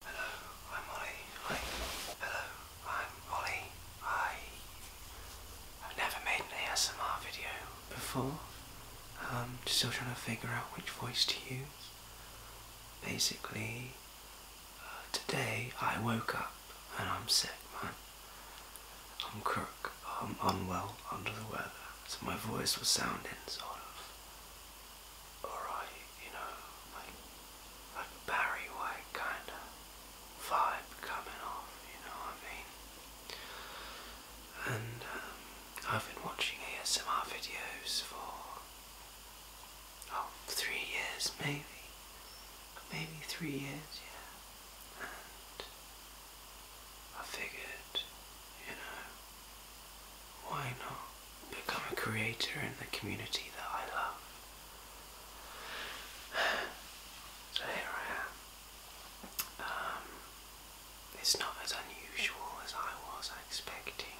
Hello, I'm Ollie. Hi. Hello, I'm Ollie. Hi. I've never made an ASMR video before. I'm um, still trying to figure out which voice to use. Basically, uh, today I woke up and I'm sick, man. I'm crook. I'm unwell, under the weather. So my voice was sounding sort of alright, you know, like, like Barry White kind of vibe coming off, you know what I mean? And um, I've been watching ASMR videos for, oh, three years maybe, maybe three years, yeah, and I figured, you know, why not become a creator in the community that I love? So here I am. Um, it's not as unusual as I was expecting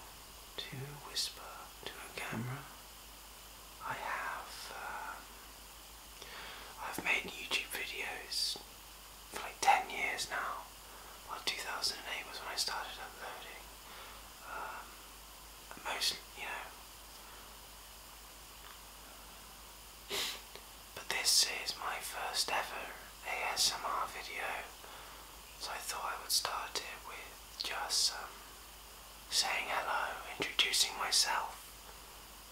to whisper to a camera. I have, um, I've made YouTube videos for like 10 years now. Well, 2008 was when I started uploading. Um, Most, you know. But this is my first ever ASMR video, so I thought I would start it with just um, saying hello, introducing myself,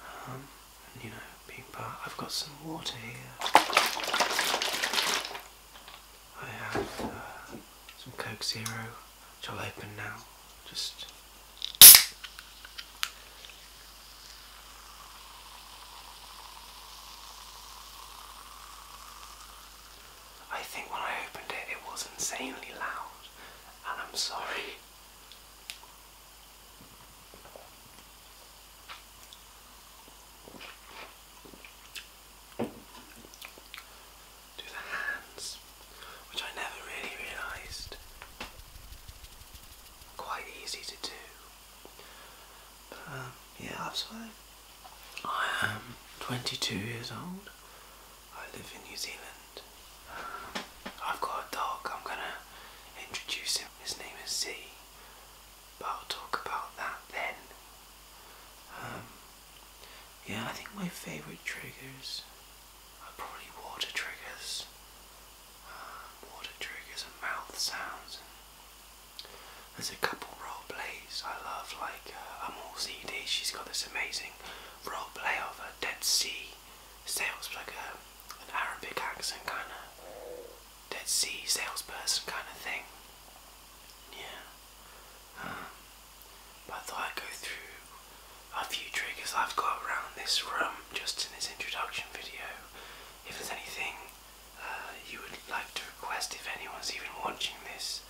um, and you know, being part. I've got some water here. I have uh, some Coke Zero, which I'll open now. Just. I think when I opened it, it was insanely loud, and I'm sorry do the hands, which I never really realised quite easy to do. But um, yeah, absolutely. I am 22 years old. I live in New Zealand. I've got a dog. I'm gonna introduce him. His name is Z but I'll talk about that then. Um, yeah, I think my favourite triggers are probably water triggers. Um, water triggers and mouth sounds. And there's a couple role plays I love, like uh, Amol CD. She's got this amazing role play of a Dead Sea sales, like a, uh, an Arabic accent kind of Dead Sea salesperson kind of thing. Yeah. Um, but I thought I'd go through a few triggers I've got around this room just in this introduction video. If there's anything uh, you would like to request, if anyone's even watching this,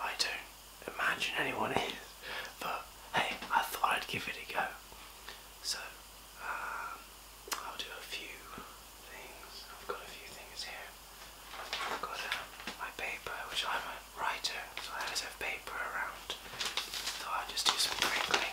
I don't imagine anyone is, but hey, I thought I'd give it a go. So, um, I'll do a few things. I've got a few things here. I've got uh, my paper, which I'm a writer, so I always have paper around. So I'll just do some crinkling.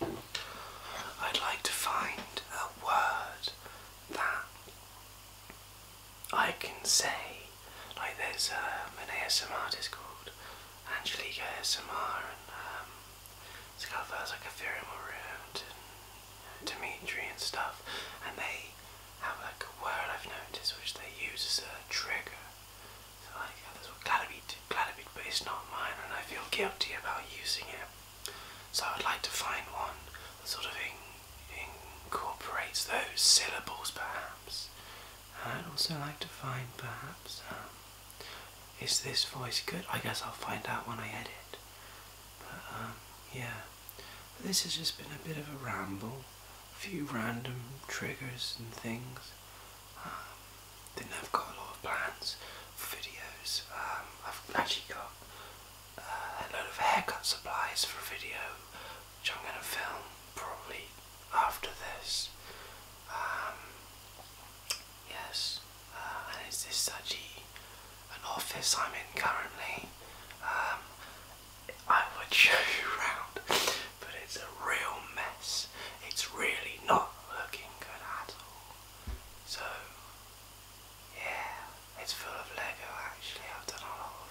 I'd like to find a word that I can say. Like there's um, an ASMR artist called Angelique ASMR and um, it's kind of like Ethereum around Dimitri and stuff and they have like a word I've noticed which they use as a trigger. So like oh, this one Gladabeat, but it's not mine and I feel guilty about using it. So I'd like to find one that sort of incorporates those syllables perhaps. I'd also like to find perhaps um, is this voice good? I guess I'll find out when I edit. But um, yeah this has just been a bit of a ramble, a few random triggers and things. then I've got a lot of plans videos. Um, I've actually got uh, a load of haircut supplies for a video which I'm going to film probably after this. Um, yes, uh, and it's this such an office I'm in currently. Um, I would show you round, but it's a real mess. It's really not looking good at all. So, yeah, it's full of Lego actually. I've done a lot of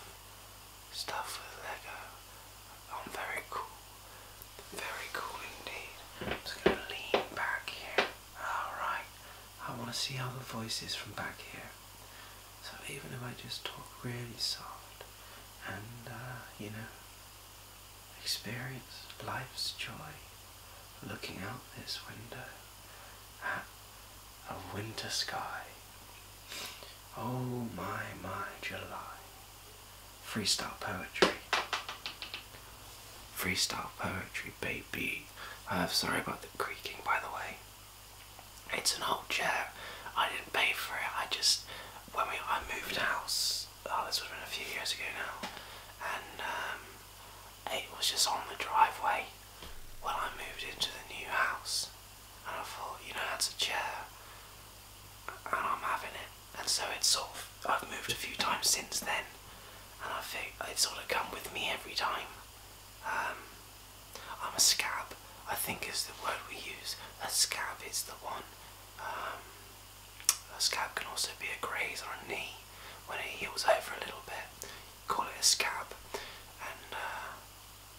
stuff with Lego. i very cool. Very cool indeed. I'm just going to lean back here. Alright, I want to see how the voice is from back here. So even if I just talk really soft and, uh, you know, experience life's joy looking out this window at a winter sky. Oh my, my July. Freestyle poetry. Freestyle poetry, baby. Uh, sorry about the creaking, by the way. It's an old chair. I didn't pay for it. I just when we I moved house. Oh, this would have been a few years ago now, and um, it was just on the driveway when I moved into the new house. And I thought, you know, that's a chair, and I'm having it. And so it's sort of I've moved a few times since then, and I think it's sort of come with me every time. Um, I'm a scab, I think is the word we use. A scab is the one. Um, a scab can also be a graze on a knee when it heals over a little bit. Call it a scab. And, uh,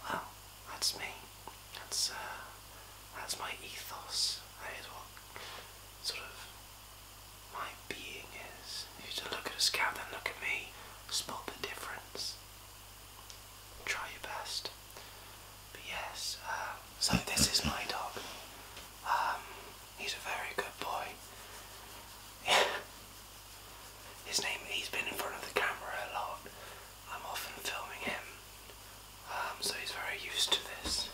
well, that's me. That's, uh, that's my ethos. That is what sort of my being is. If you were look at a scout, then look at me, spot the difference. Try your best. But yes, um, so this is my dog. Um, he's a very good boy. His name, he's been in front of the camera a lot. I'm often filming him, um, so he's very used to this.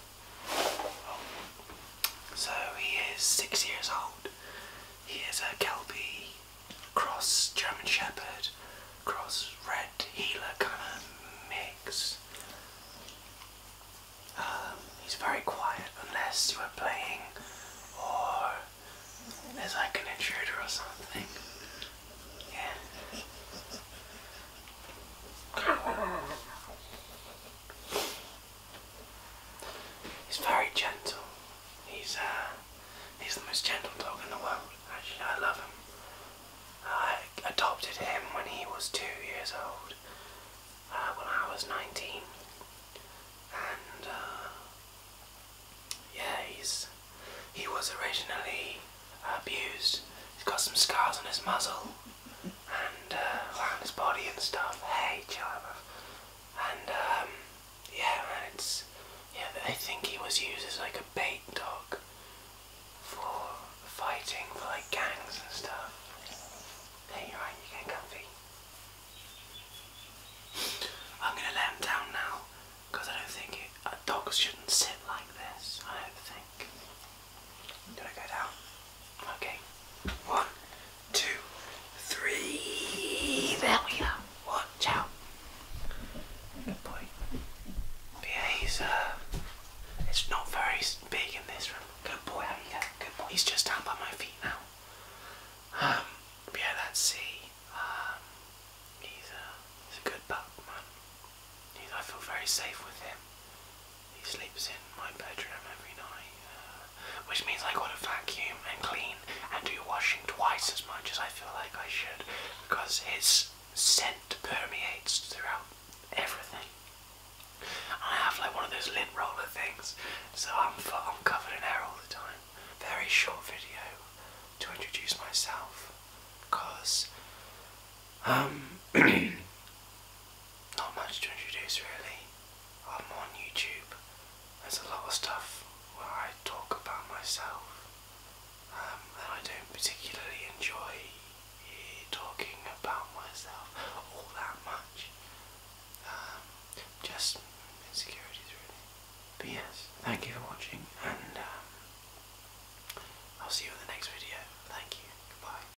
So he is six years old Here's a Kelpie cross German Shepherd cross Red Healer kind of mix. Um, he's very quiet unless you are playing or there's like an intruder or something. Yeah. He's very gentle. He's uh, he's the most gentle dog in the world. Actually, I love him. I adopted him when he was two years old. Uh, when I was 19, and uh, yeah, he's he was originally abused. He's got some scars on his muzzle, and around uh, his body and stuff. Hey, chill And um, yeah, man, it's yeah. I think he was used as like a bait dog for fighting for like gangs and stuff. Hey, you're right. You get comfy. I'm gonna let him down now I don't think uh, dogs shouldn't sit like this. I don't think. i go down. Okay. One, two, three. There we go. Watch out. Good boy. yeah, he's uh, it's not very big in this room. Good boy, how you go? Good boy. He's just down by my feet now. Um, yeah, let's um, he's a, uh, he's a good pup, man. I feel very safe with him. He sleeps in my bedroom every night, uh, which means I gotta vacuum and clean and do washing twice as much as I feel like I should because his scent permeates throughout everything. I have like one of those lint roller things, so I'm, I'm covered in hair all the time. Very short video to introduce myself because um, not much to introduce really. I'm on YouTube. There's a lot of stuff where I talk about myself, um, and I don't particularly enjoy talking about myself all that much. Um, just insecurity, really. But yes, thank you for watching, and um, I'll see you in the next video. Thank you. Goodbye.